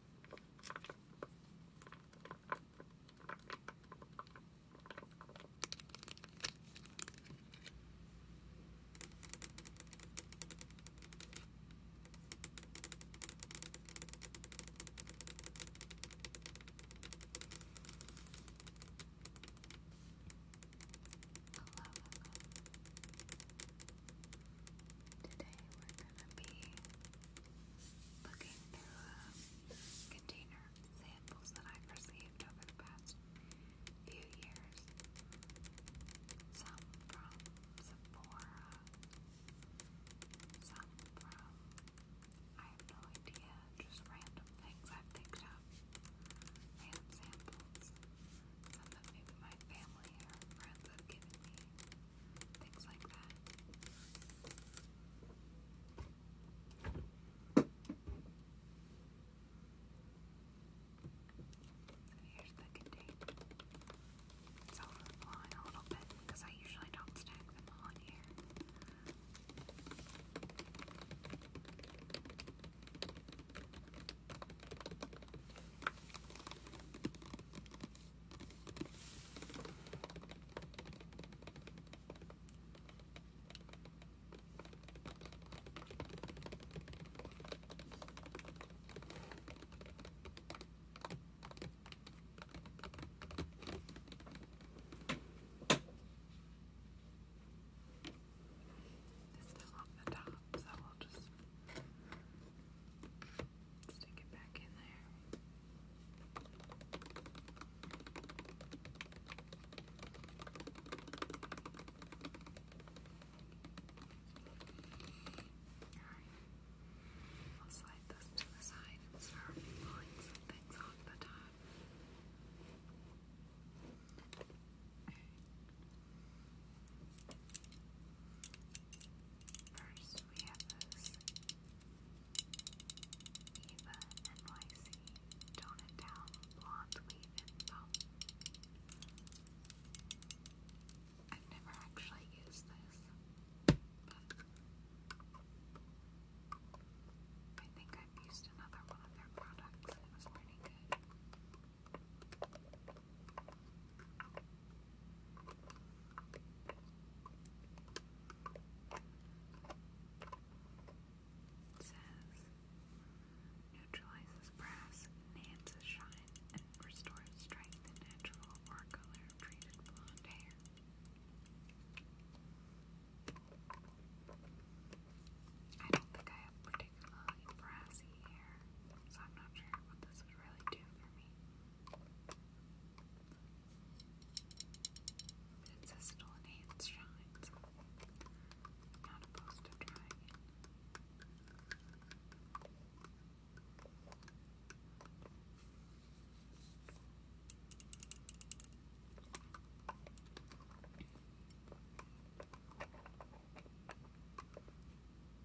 Today we're gonna be looking through a uh, container samples that I've received over the past few years. Some from Sephora, some from I have no idea, just random things I've picked up. Random samples. Some that maybe my family or friends have given me things like that. Here's the container. It's overflowing a little bit because I usually don't stack them on here. It's still on the top, so I'll just Stick it back in there. Alright. I'll slide this to the side start pulling some things off the top. Okay. First, we have this Eva NYC Tone It Down Blonde Leave Info. I've never actually used this, but I think I've used another one of their products. It was pretty good. It says, neutralizes brass, enhances shine, and restores strength in natural or color-treated blonde hair. I don't think I have particularly brassy hair, so I'm not sure what this would really do for me. Ancestral enhanced shines. Not opposed to trying it. Let's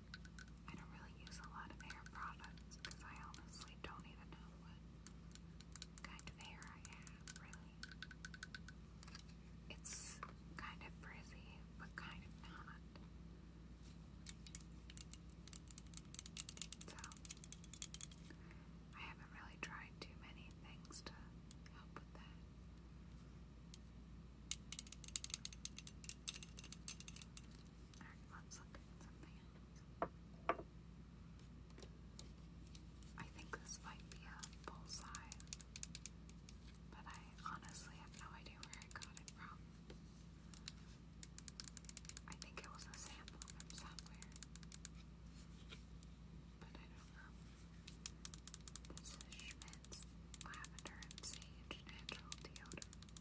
I don't really use a lot of hair products because I honestly don't even know what kind of hair I have, really. It's kind of frizzy, but kind of not. So, I haven't really tried too many things to help with that. Alright, let's look at something I think this might be a bullseye, but I honestly have no idea where I got it from. I think it was a sample from somewhere, but I don't know. This is Schmidt's Lavender Sage Natural Deodorant.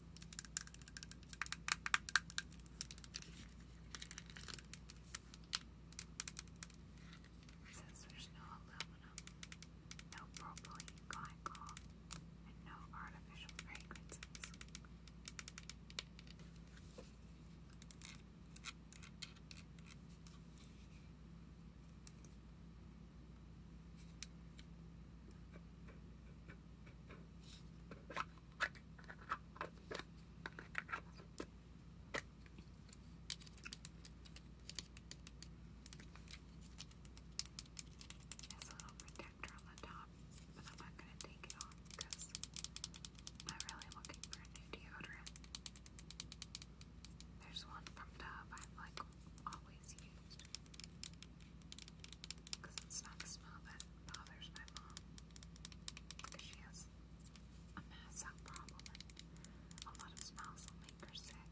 Since there's no aluminum, no propylene glycol, and no artificial fragrances. There's a little protector on the top, but I'm not going to take it off because I'm really looking for a new deodorant. There's one from Dove I've like always used. Because it's not a smell that bothers my mom. Because she has a mass out problem and a lot of smells will make her sick.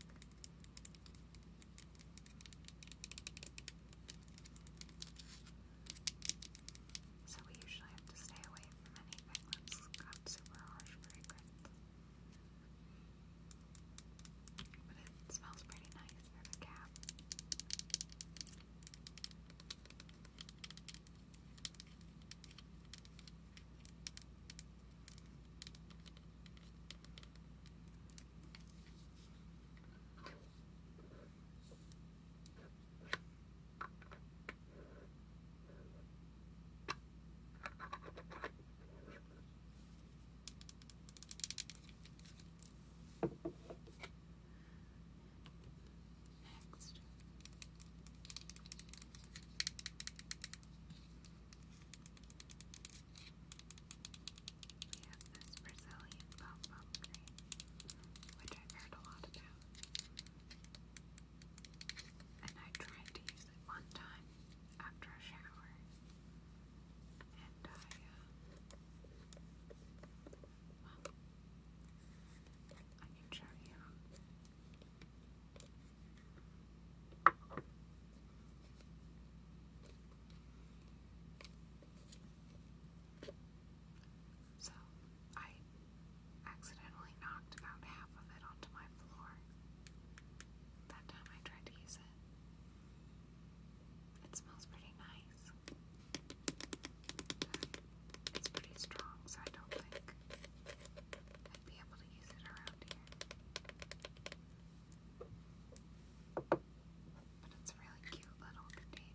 So we usually have to stay away from anything that's got super harsh fragrance. But it smells pretty nice gives them a cap. Next. We have this Brazilian pop-up cream, which I've heard a lot about. And I tried to use it one time after a shower, and I, uh, well, I can show you. So, I accidentally knocked about half of it onto my floor. That time I tried to use it. It smells pretty nice. It's pretty strong, so I don't think I'd be able to use it around here. But it's a really cute little container.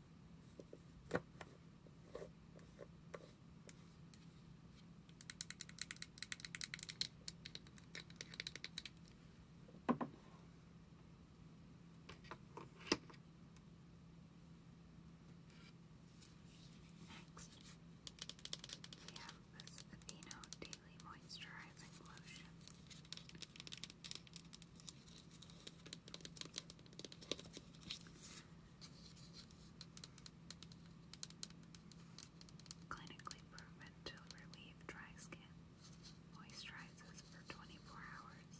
Next, we have this Aveeno Daily Moisturizing Lotion. Clinically proven to relieve dry skin. Moisturizes for 24 hours.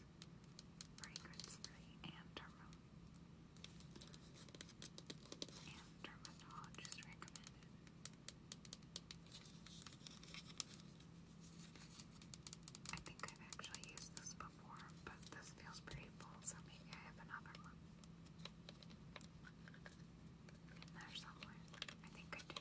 Fragrance-free and dermatologist recommended. I think I've actually used this before, but this feels pretty full, so maybe I have another one. In there somewhere. I think I do.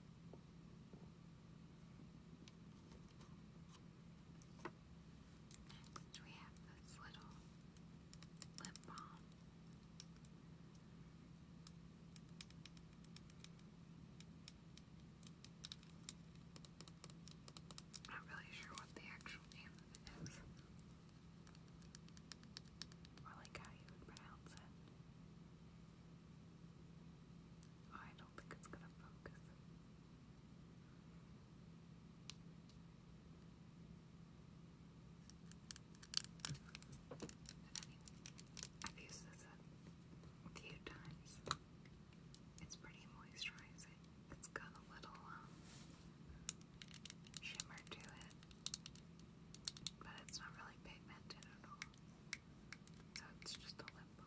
Next, we have this little lip balm. not really sure what the actual name of or like how you pronounce it. Oh, I don't think it's gonna focus. I've used this a few times. It's pretty moisturizing. It's got a little um, shimmer to it, but it's not really pigmented at all. That's just a lip balm.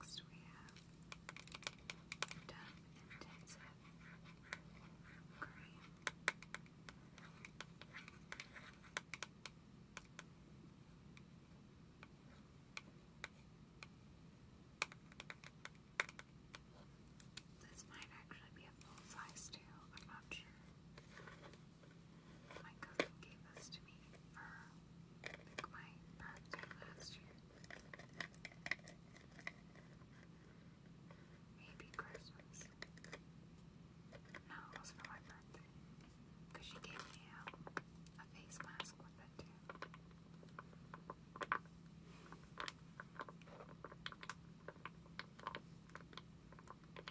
Next we have Dove Intensive Cream. This might actually be a full size too, I'm not sure. My cousin gave this to me for I my birthday last year. Maybe Christmas. No, it was for my birthday. Because she gave me a, face mask with it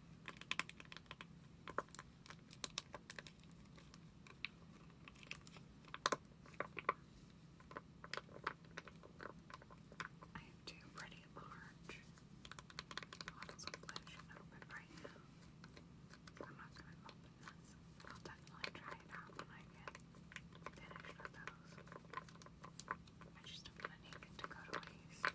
I have two pretty large bottles of lotion open right now. I'm not going to open this. I'll definitely try it out when I get finished with those. I just don't want to to go to waste.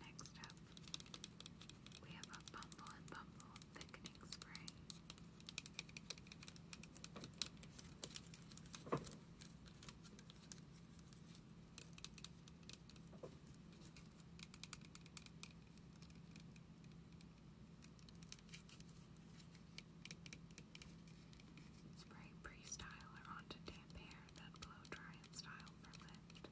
Next up, we have a Bumble and Bumble Thickening Spray. It Spray pre-styler onto damp hair, then blow dry and style for lift.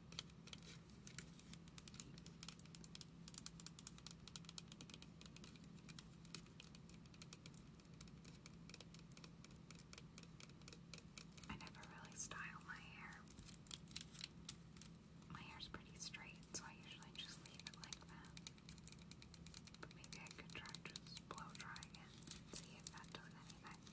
I never really style my hair. My hair's pretty straight, so I usually just leave it like that. But maybe I could try just blow drying it see if that does anything.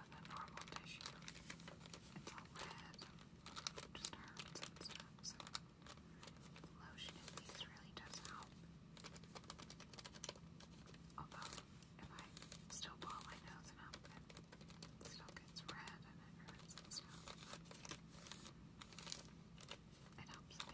with a normal tissue. It's all red and disturbed and stuff, so lotion at least really does help. Although, if I still blow my nose enough, it still gets red and hurts and stuff. It helps a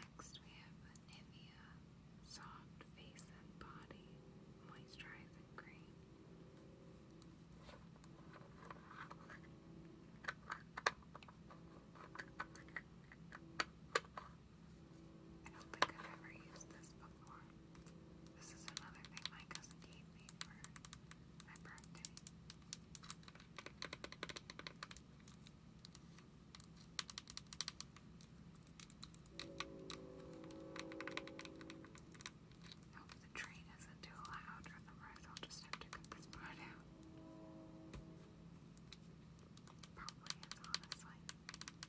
Next, we have Nivea Soft Face and Body Moisturizing Cream. I don't think I've ever used this before. This is another thing my cousin me for my birthday. Now, if the train isn't too loud, otherwise I'll just have to cut this part out. Probably is, honestly. But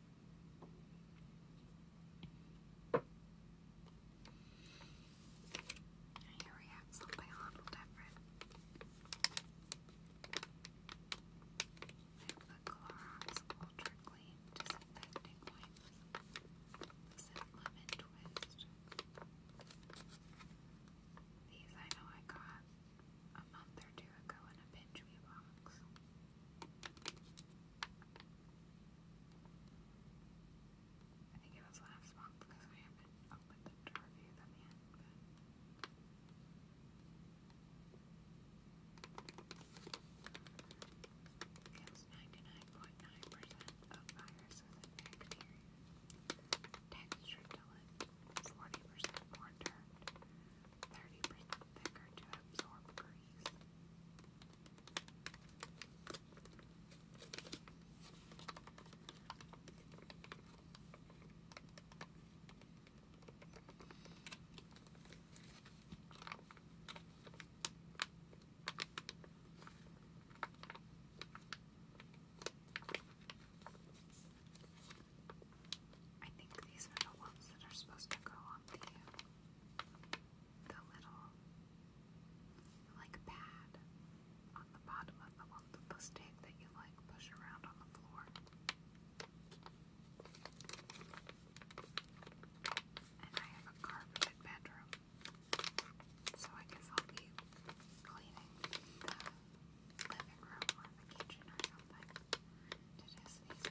And here we have something a little different. the Clorox Ultra Clean Disinfecting Wipes. This is Twist. These I know I got a month or two ago in a Pinch Me box. I think it was last month because I haven't opened them review them yet. But it 99.9% of viruses and bacteria. Texture 40% more dirt, 30% thicker to absorb grease. I think these are the ones that are supposed to go on the the little like pad on the bottom of the the stick that you like push around on the floor. And I have a carpeted bedroom. So I guess I'll be cleaning the living room or the kitchen or something to just these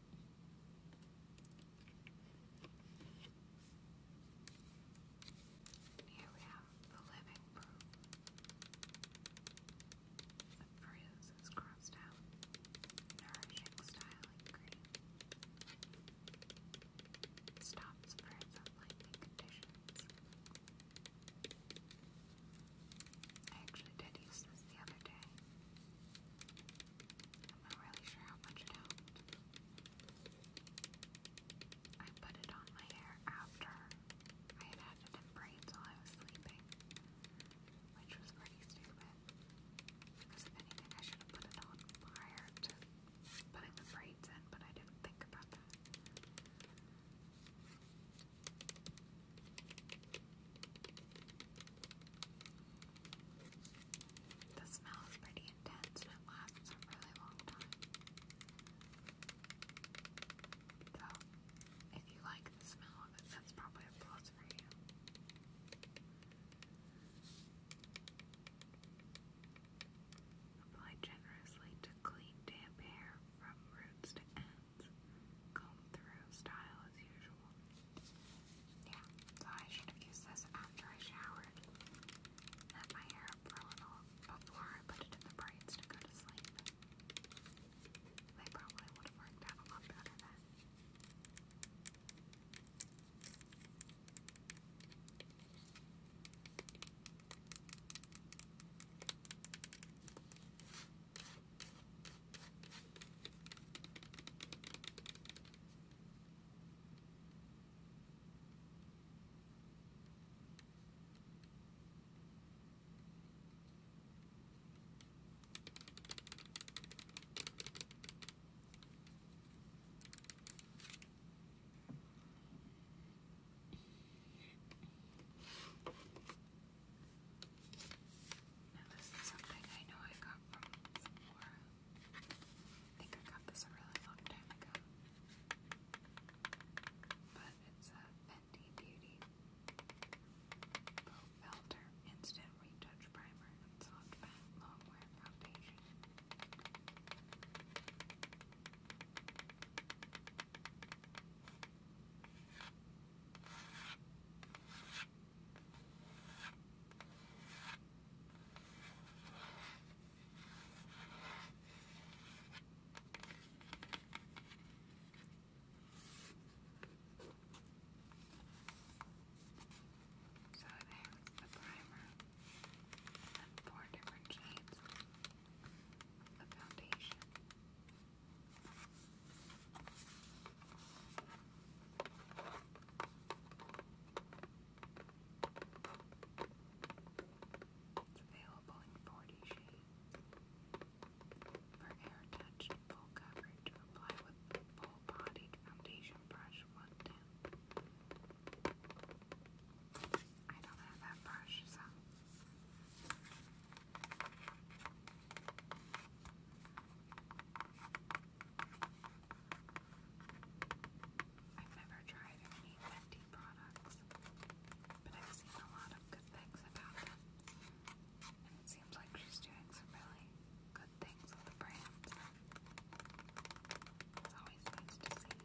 And here we have the living proof. The phrase is crossed out. Nourishing styling cream. Stops birds unlikely conditions. I actually did use this the other day. I'm not really sure how much it I put it on my hair after I had had it in braids while I was sleeping, which was pretty stupid. Because if anything, I should have put it on prior to putting the braids in, but I didn't think about that. The smell is pretty intense and it lasts a really long time. So, if you like the smell of it, that's probably a plus for you. Apply generously to clean damp hair from roots to ends. Comb through style as usual. Yeah, so I should have this after I showered. Let my hair up a little before I put it in the braids to go to sleep. They probably would have worked a lot better then. Now this is something I know I got from Sephora. I think I got this a really long time ago. But it's a Fenty Beauty Pro Filter Instant Retouch Primer and Soft Matte Longwear Foundation. So there's the primer and four different shades of foundation. It's available in 40 shades. For air-touched full coverage, apply with full-bodied foundation brush 110. I don't have that brush, so... I've never tried any Fenty products, but I've seen a lot of good things about them. And it seems like she's doing some really good things with the brand. It's always nice to see.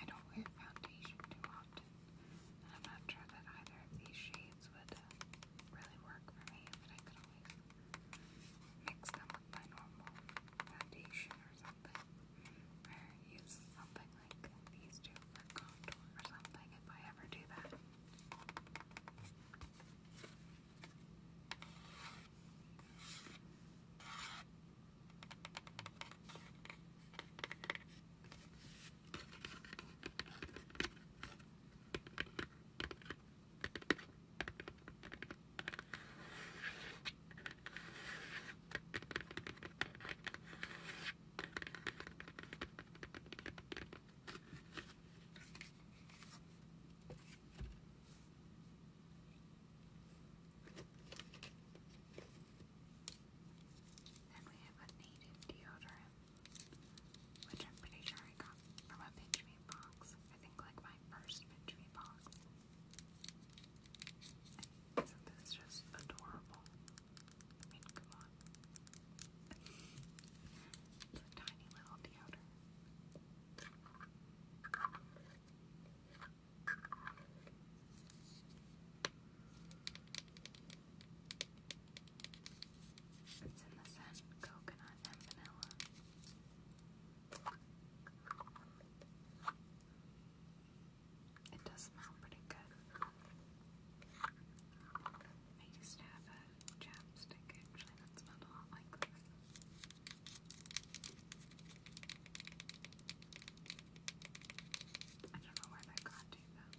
I don't wear foundation too often, I'm not sure that either of these shades dates would uh, really work for me, but I could always mix them with my normal foundation or something, or use something like these two for contour or something if I ever do that. And we have a needed deodorant which I'm pretty sure I got from a pinch me box. I think like my first pinch me box. And is just adorable? I mean, come on. it's a tiny little deodorant. It's in the scent coconut and vanilla. It does smell pretty good. I used to have a chapstick actually that smelled a lot like this. I don't know where that got to though.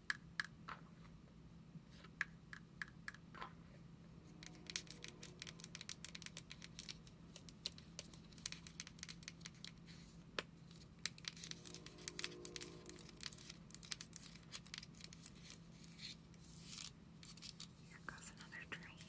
Here goes another train.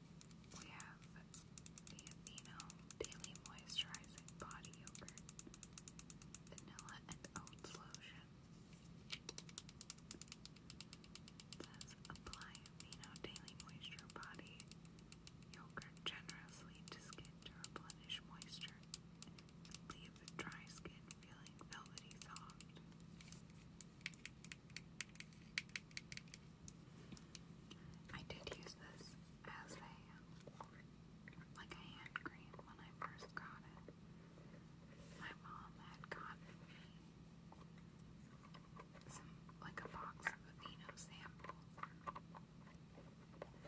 we have the Athena Daily Moisturizing Body Yogurt, Vanilla and Oats Lotion. apply Athena Daily Moisture Body Yogurt generously to skin to replenish moisture leave dry skin feeling velvety soft. I did use this as a like a hand cream when I first got it. My mom had gotten me some like a box of Aveeno samples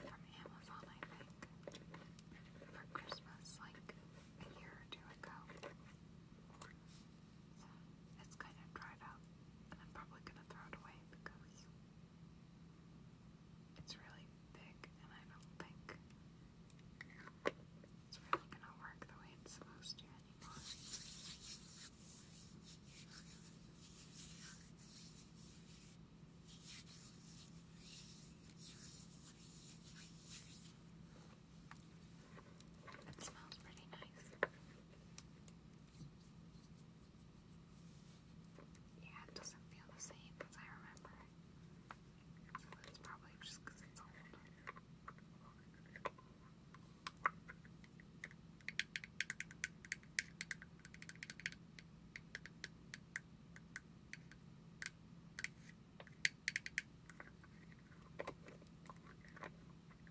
from Amazon, I think, for Christmas like a year or two ago. So it's kind of dried up, and I'm probably gonna throw it away because it's really big, and I don't think it's really gonna work the way it's supposed to anymore. It smells pretty nice. Yeah, it doesn't feel the same as I remember. So that's probably just it's old.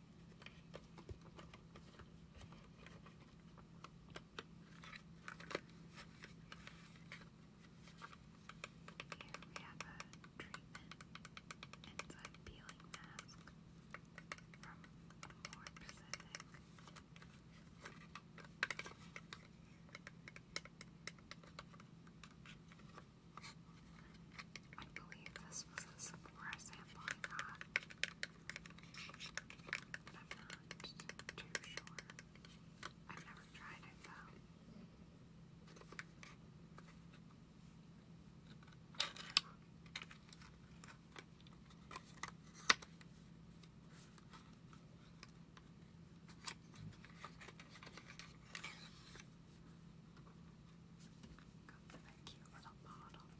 Here we have a treatment. It's a peeling mask from More Pacific. It I believe this was a Sephora sample I got. am not too sure. I've never tried it though. Got the cute little bottle.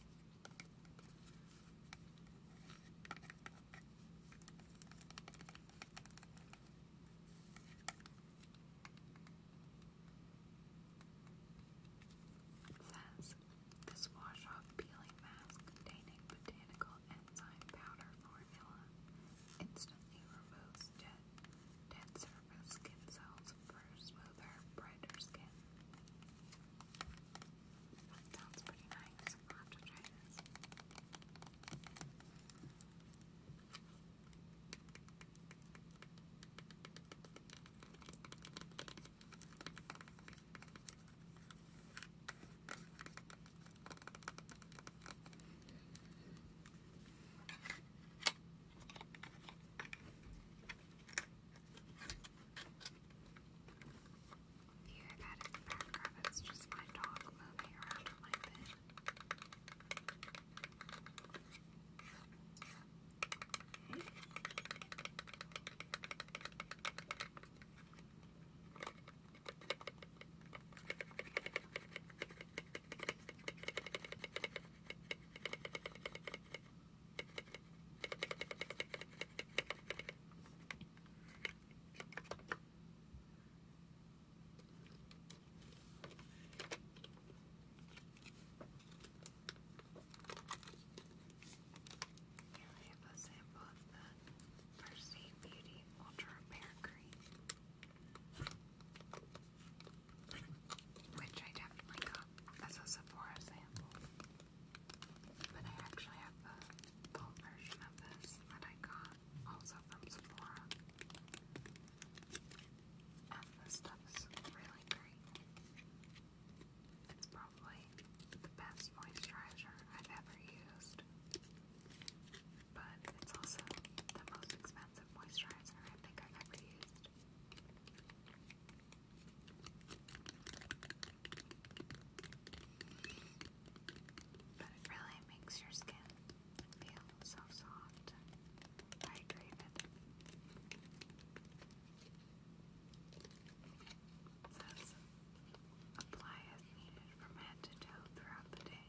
says this wash off peeling mask containing botanical enzyme powder formula instantly removes dead Dead surface skin cells for smoother, brighter skin. sounds pretty nice. I'll to try this. Yeah, that is the background. That's just my dog moving around on my bed. Okay. Okay, here we have a sample of the Percy Beauty Ultra Repair Cream which I definitely got as a Sephora sample. But I actually have the full version of this that I got also from Sephora. And this stuff really great. It's probably the best moisturizer I've ever used. But it's also the most expensive moisturizer I think I've ever used. But it really makes your skin feel so soft hydrated. apply as needed from head to toe throughout the day.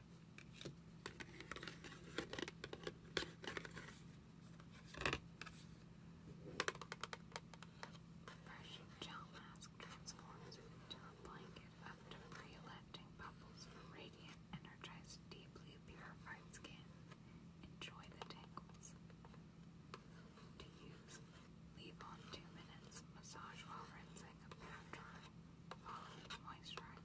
Refreshing gel mask transforms into a blanket of debris-lifting bubbles radiant, energized, deeply purified skin. Enjoy the tangles. To use, leave on two minutes, massage while rinsing, after following moisturizer.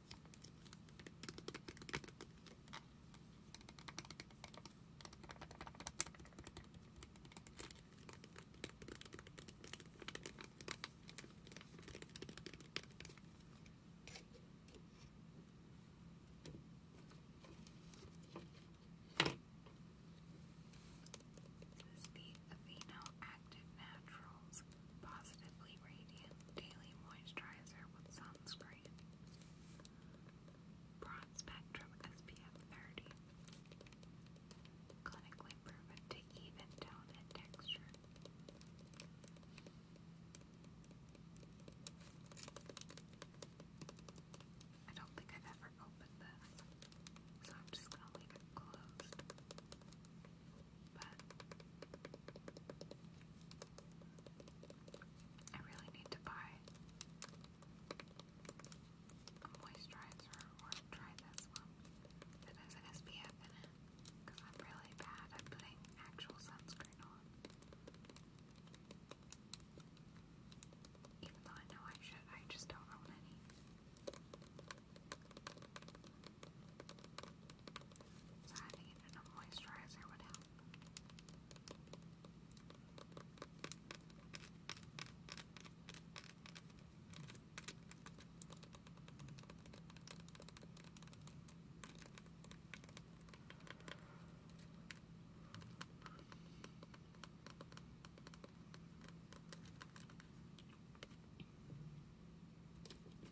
This is the Aveeno Active Naturals Positively Radiant Daily Moisturizer with Sunscreen. Broad Spectrum SPF 30. Clinically proven to even tone and texture. I don't think I've ever opened this, so I'm just gonna leave it closed but I really need to buy a moisturizer or try this one that has an SPF in it because I'm really bad at putting actual sunscreen on. Even though I know I should, I just don't own any. So adding it in moisturizer would help. I have a sample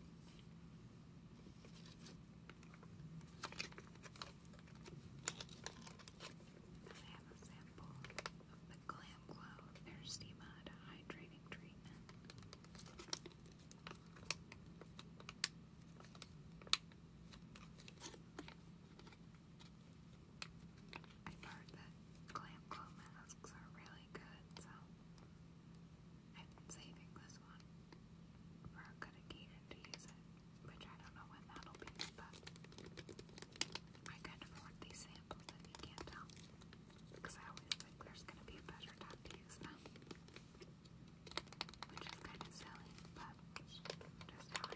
of the Glam Glow Thirsty Mud Hydrating Treatment. i heard that Glam Glow masks are really good, so I'm saving this one for a good occasion to use it, which I don't know when that'll be, but I can afford these samples if you can't tell, because I always think there's going to be a better time to use them, which is kind of silly, but just how I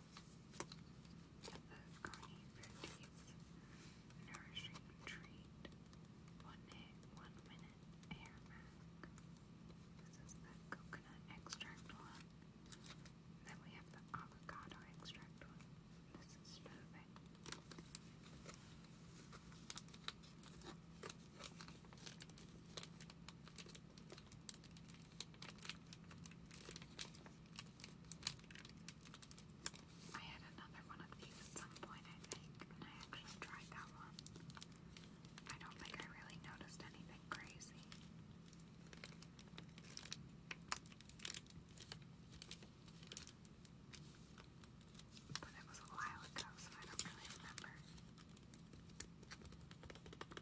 of Carney Fruities Nourishing Treat One Day, One Minute Hair Mask. This is the coconut extract one. Then we have the avocado extract one. This is smoothing. I had another one of these at some point, I think, and I actually tried that one. I don't think I really noticed anything crazy. But it was a while ago, so I don't really remember.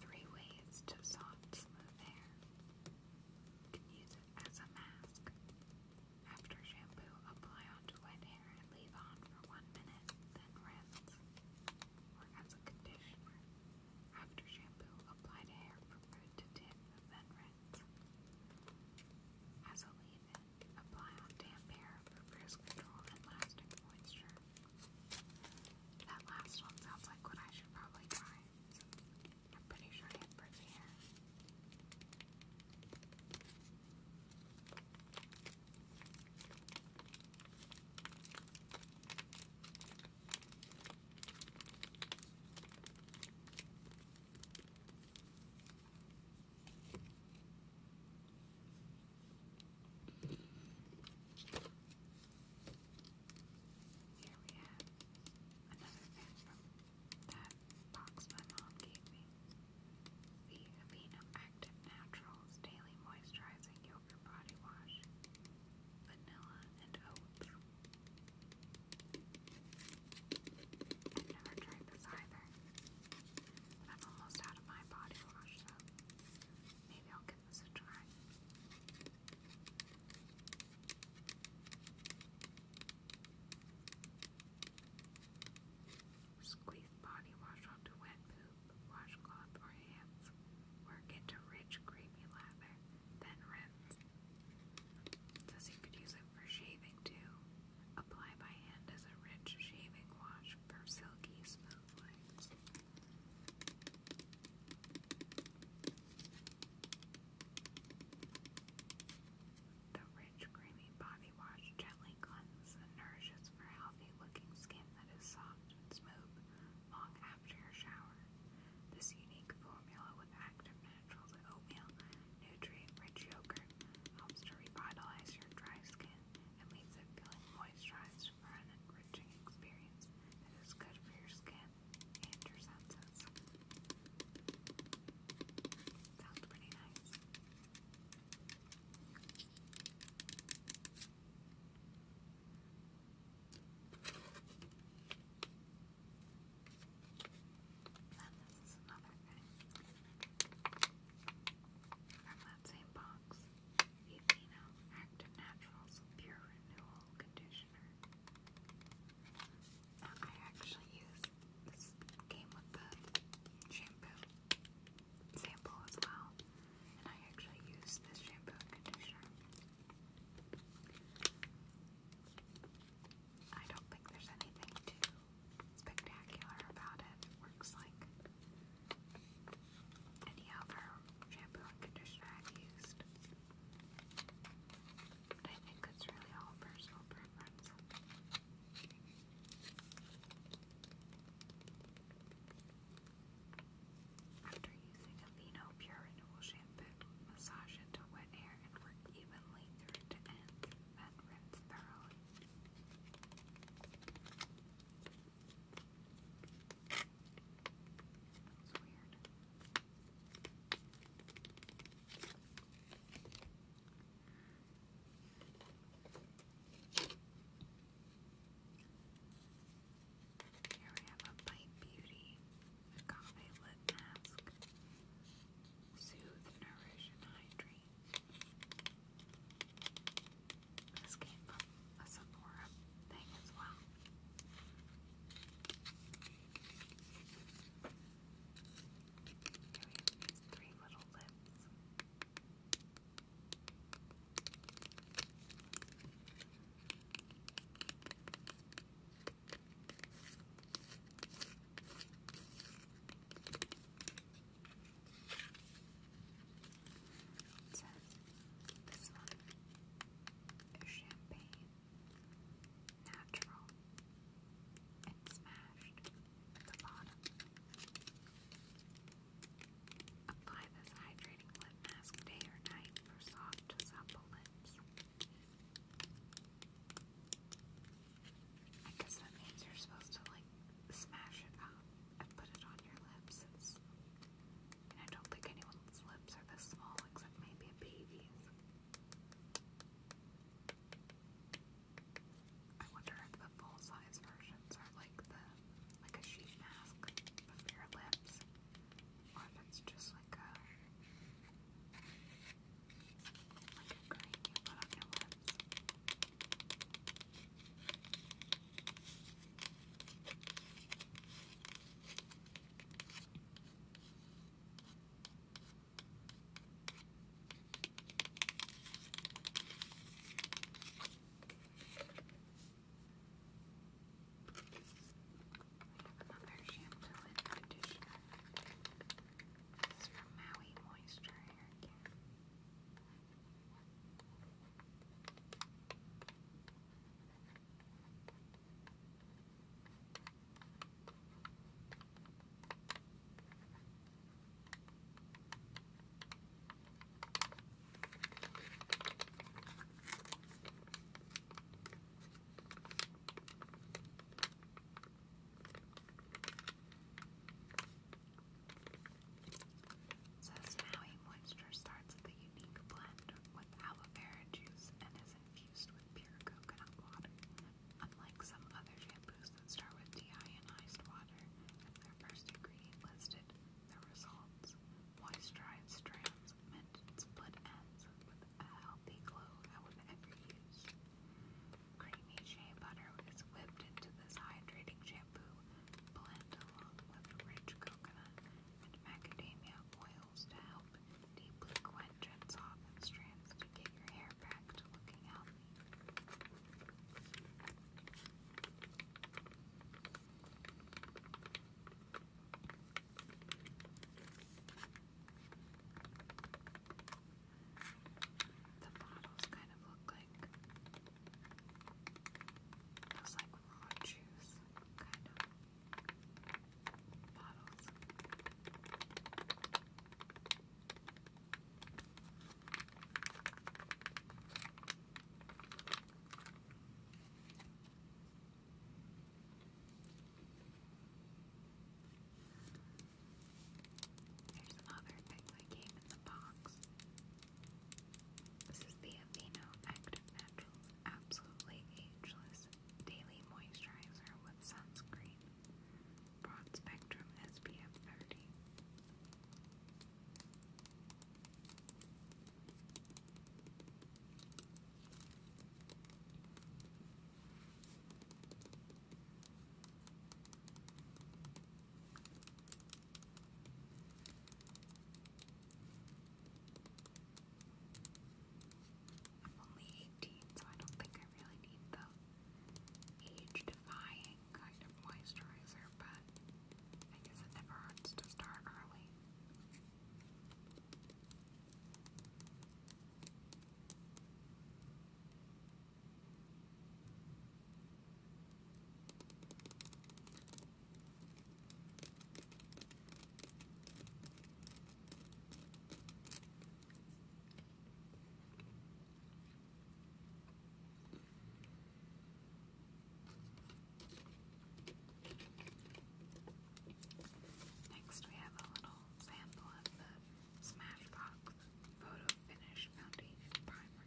Three ways to soft smooth You as a mask. After shampoo, apply onto wet hair and leave on for one minute, then rinse. Or as a conditioner. After shampoo, apply to hair from root then rinse. As a leave-in, apply on damp hair for frizz control and lasting moisture. That last one sounds like what I should probably try. I'm pretty sure I have here. Here we have another bathroom that box my mom gave me. The Aveeno Active Naturals Daily Moisturizing Yogurt Body Wash. Vanilla and oats. I've never tried this either. I'm almost out of my body wash, so maybe I'll give this a try. Squeeze body wash onto wet poop, washcloth, or hands. Work into rich, creamy lather, then rinse. Says you could use it for shaving too. Apply by hand as a rich shaving wash for silky, smooth the rich, creamy body wash gently cleanses and nourishes for healthy looking skin that is soft and smooth long after your shower. This unique formula with active naturals and oatmeal, nutrient rich yogurt, helps to revitalize your dry skin and leaves it feeling moisturized for an enriching experience that is good for your skin and your senses. Sounds pretty nice. And this is another thing from that same box. Aveeno Active Naturals Pure Renewal Conditioner. Now, I actually use this came with the shampoo sample as well, and I actually use this shampoo conditioner. I don't think there's anything too spectacular about It works like any other shampoo and conditioner I've used. But I After using a Aveeno Pure Renewal Shampoo, massage into wet hair and work evenly through to end, then rinse thoroughly. That's weird. Here we have a Bite Beauty Agave Lip Mask. Soothe, Nourish, and Hydrate. This came from a Sephora thing as well we have three little lips. this one is champagne, natural, and smashed at the bottom. Apply this hydrating lip mask day or night for soft, supple lips. I guess that means you're supposed to like smash it up and put it on your lips. It's, and I don't think anyone's lips are this small except maybe a baby's. I wonder if the full-size versions are like the like a sheet mask for your lips, or if it's just like a like a cream you your lips. Another shampoo and conditioner. This is from Maui Moisture Hair Care. So, Snowy Moisture starts with a unique blend with aloe vera juice and is infused with pure coconut water. Unlike some other shampoos that start with deionized water as their first ingredient listed, the results moisturized strands meant split ends with a healthy glow that would ever use. Creamy shea butter is whipped into this hydrating shampoo blend along with rich coconut and macadamia oils to help deeply quench and soften strands to get your hair they're The bottles kind of look like those like raw juice kind of bottles. There's some other thing that came in the box. This is the Aveeno Active Naturals Absolutely Ageless Daily Moisturizer with Sunscreen. Broad spectrum SPF 30. I'm only 18, so I don't think I really need the age-defying kind of moisturizer, but I guess it never hurts to start early. Next, we have a little sample of the Smashbox Photo Finish Foundation Primer.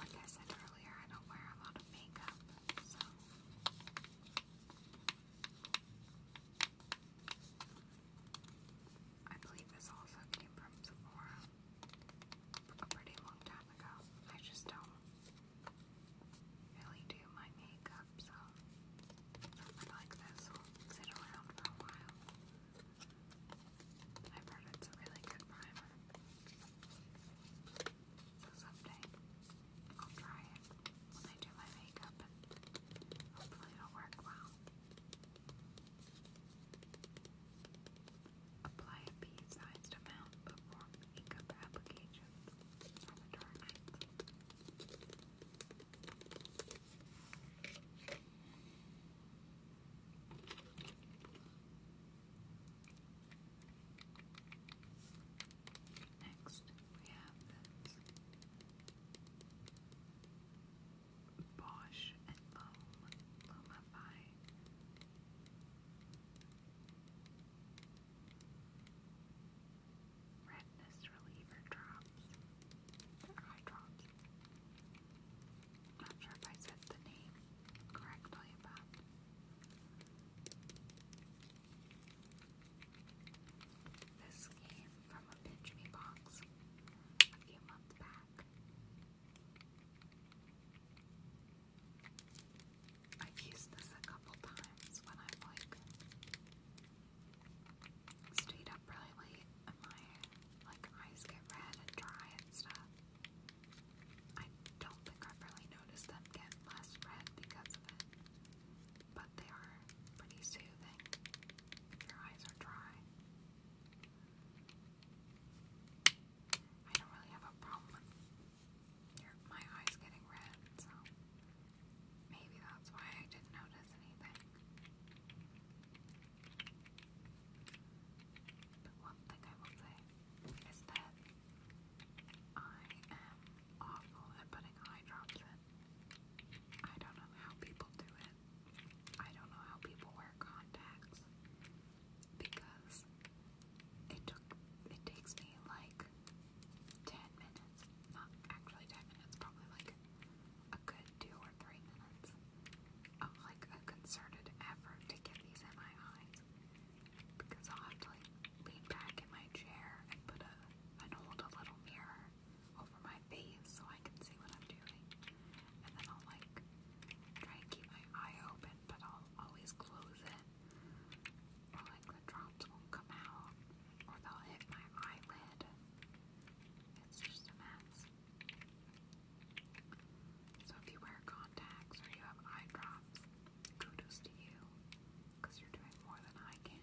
Like I said earlier, I don't wear a lot of makeup, so I believe this also came from Sephora a pretty long time ago. I just don't really do my makeup, so something like this will sit around for a while. I've heard it's a really good primer. So someday, I'll try it when I do my makeup and hopefully it'll work well. Apply a pea-sized amount before makeup application for the dark Next, we have this Bosch and Loam Lumify. Redness reliever drops. Eye drops. Not sure if I said the name correctly, but this came from a Pinch Me box a few months back. I've used this a couple times when I've like stayed up really late and my like eyes get red and dry and stuff. I don't think I've really noticed them get less red because of it but they are pretty soothing your eyes are dry. I don't really have a problem my eyes getting red, so maybe that's why I didn't notice anything. But one thing I will say is that I am awful at putting eye in. I don't know how people do it. I don't know how people wear contacts because it took it takes me like 10 minutes, not actually 10 minutes, probably like a good 2 or 3 minutes of like a concerted effort to get these in my eyes because i have to like lean back in my chair and put a and hold a little mirror over my face so I can see what I'm doing. And then I'll like try and keep my eye open, but I'll always close it. Or like the drops won't come out, or they'll hit my eyelid. It's just a mess. So if you wear contacts or you have eye drops, kudos to you, because you're doing more than I can.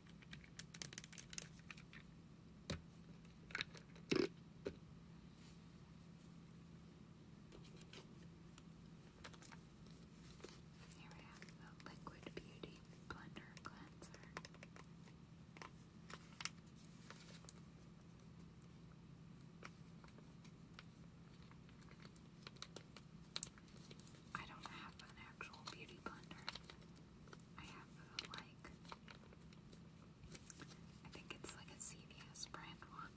Here we have the Liquid Beauty Blender Cleanser. I don't have an actual beauty blender. I have like, I think it's like a CVS brand one,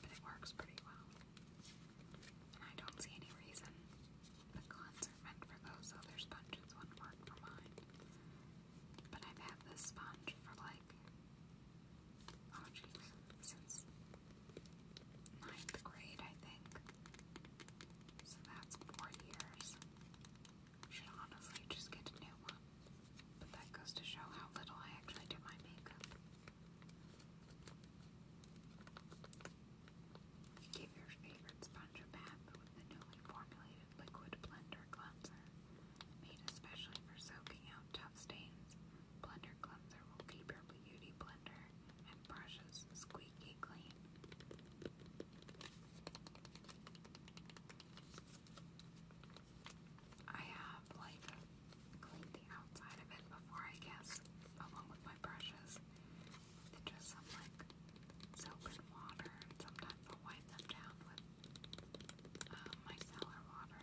but it works pretty well. And I don't see any reason the cleanser meant for those other sponges wouldn't work for mine. But I've had this sponge for like, oh jeez, since ninth grade, I think. So that's four years. Should honestly just get a new one. But that goes to show how little I actually do my makeup. Give your favorite sponge a bath with the newly formulated liquid blender cleanser. Made especially for soaking out tough stains, blender cleanser will keep your beauty blender and brushes squeaky really clean. I have like cleaned the outside of it before, I guess, along with my brushes. just some like soap and water. sometimes i wipe them down with um, water.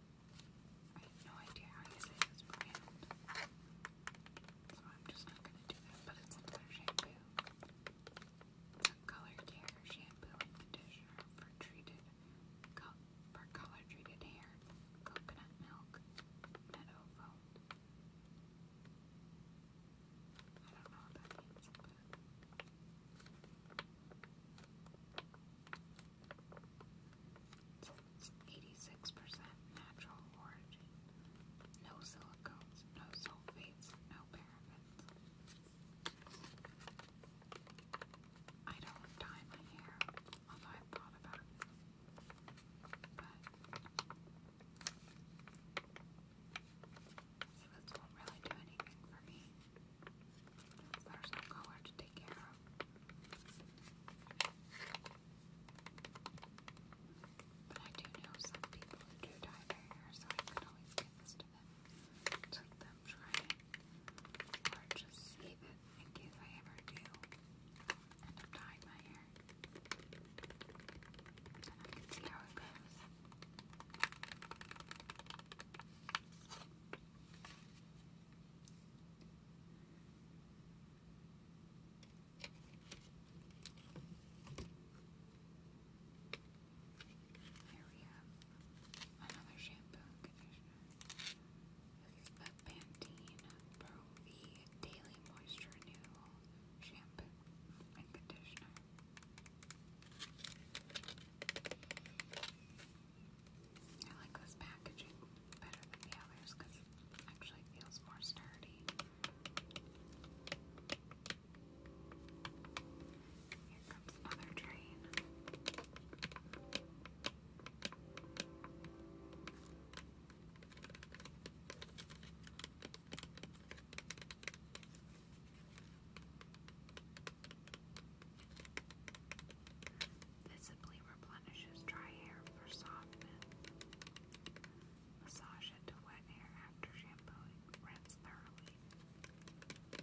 I have no idea how you say this brand. So I'm just not gonna do that, but it's another shampoo. color care shampoo conditioner for treated for color treated hair, coconut milk, meadow I don't know what that means, but it's 86% natural origin. No silicones, no sulfates, no parabens. I don't dye my hair, although I've thought about it. But so this not really do anything for me. There's no color to take care of. But I do know some people who do dye their hair, so I could always give this to them. Let them try Or just save it in case I ever do end up dyeing my hair. And I can see how it goes. Here we another shampoo conditioner. This is the Pantene Pro V Daily Moisture Renewal Shampoo and Conditioner. I like this packaging better than the others because it actually feels more sturdy. Here comes another train. Visibly replenishes dry hair for softness. Massage it to wet hair after shampooing. Rinse thoroughly. This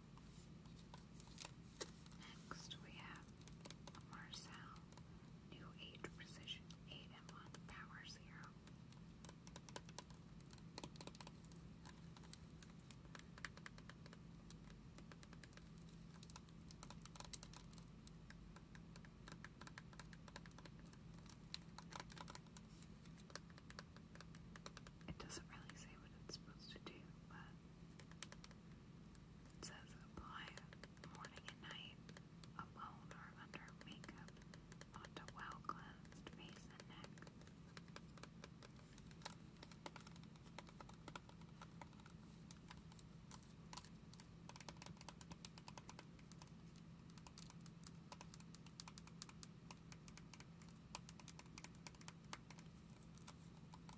Next, we have a Marcel New Age Precision 8-in-1 Power Zero. It doesn't really say what it's supposed to do, but it says apply morning and night, alone or under makeup, onto well cleansed face and neck.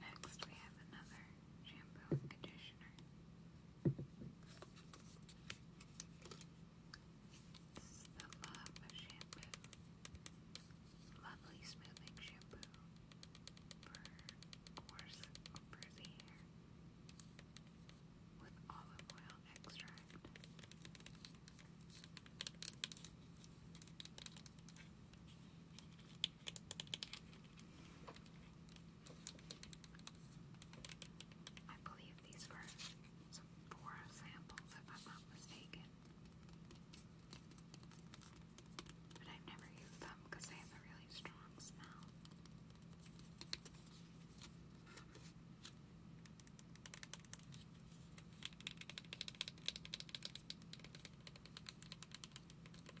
Next, we have another shampoo and conditioner. This is Love Shampoo. Lovely smoothing shampoo for coarse, frizzy hair with olive oil extract. I believe these were four samples, if I'm not mistaken. But I've never used them because they have a really strong smell. Here's the conditioner.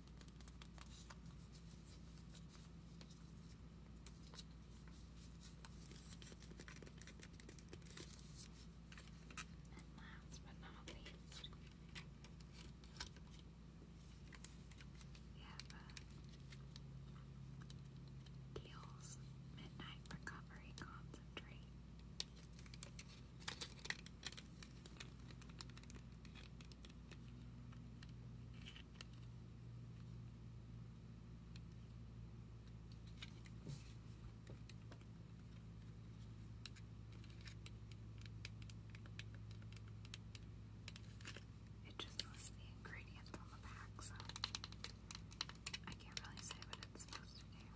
And last but not least, we have uh, Kiehl's Midnight Recovery Concentrate. It just lists the ingredients on the back, so I can't really say what it's supposed to do.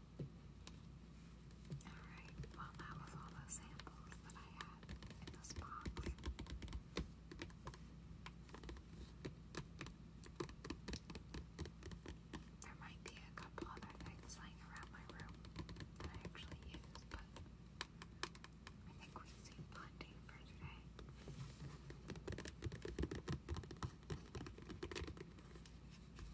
Alright, well, that was all the samples that I had in this box. There might be a couple other things lying around my room that I actually use, but I think we've seen plenty for today.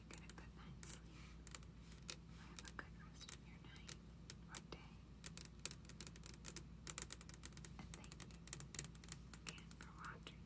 good night's sleep. Have a good rest of your night or day. And thank you again for watching.